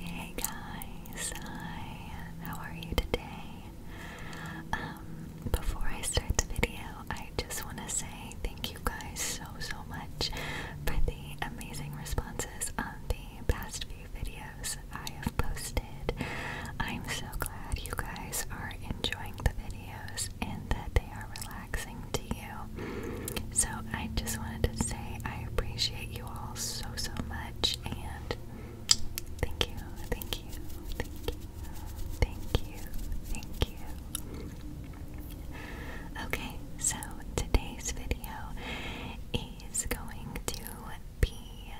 Hey guys, hi, how are you today? Um, before I start the video, I just want to say thank you guys so so much for the amazing responses on the past few videos I have posted. I'm so glad you guys are enjoying the videos and that they are relaxing to you. So I just wanted to say I appreciate you all so, so much. And thank you, thank you, thank you, thank you, thank you. Okay, so today's video is going to be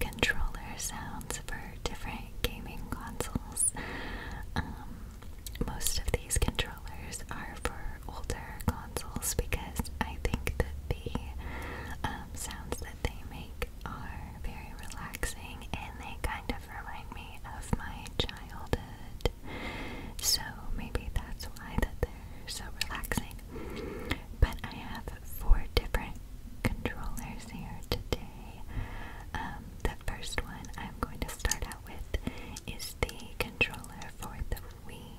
controller sounds for different gaming consoles. Um, most of these controllers are for older consoles because I think that the um, sounds that they make are very relaxing and they kind of remind me of my childhood. So maybe that's why that they're so relaxing. But I have four different controllers here today. Um, the first one I'm going to start out with is the controller for the Wii.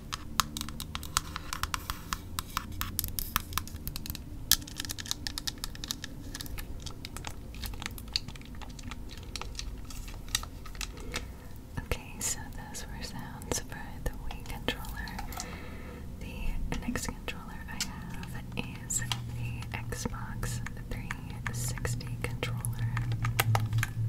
Okay, so those were sounds for the Wii controller. The next controller I have is the Xbox 360 controller.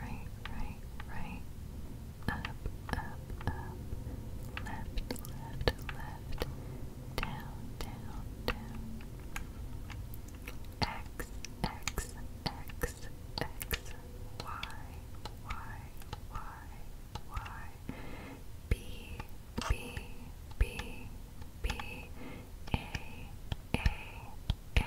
Right, right, right. Up, up, up. Left, left, left. Down, down, down. X, X, X, X. Y, Y, Y, Y. B, B, B, B A A A A.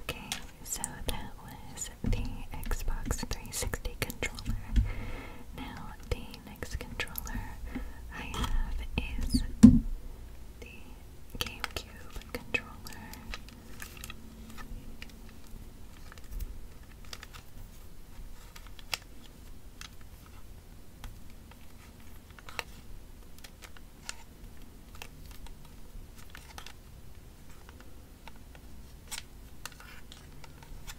Okay, so that was the Xbox 360 controller. Now, the next controller I have is the GameCube controller.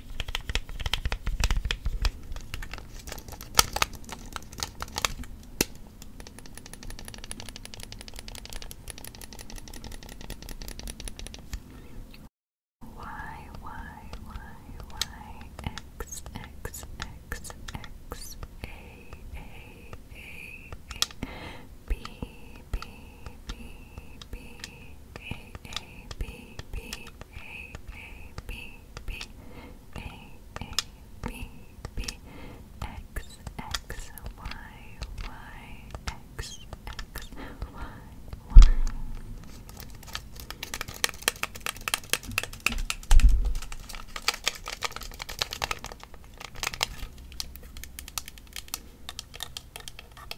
Y, Y, Y, Y, X, X, X, X, A, A, A, A, B, B, B, B, A, A, B, B, A, A, B, B A A B B X X Y Y X X Y Y Okay.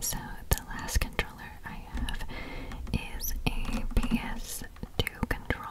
so the last controller I have is a PS2 controller.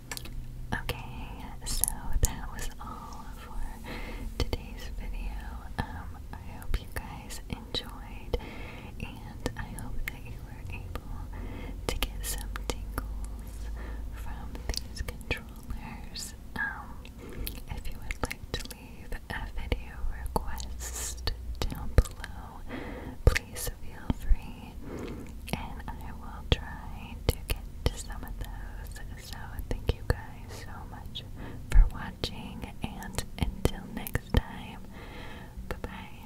Okay, so that was all for today's video. Um, I hope you guys enjoyed, and I hope that you were able to get some tingles from these controllers. Um, if you would like to leave a video request down below, please feel free, and I will try to get to some of those. So thank you guys so much for watching and until next time, bye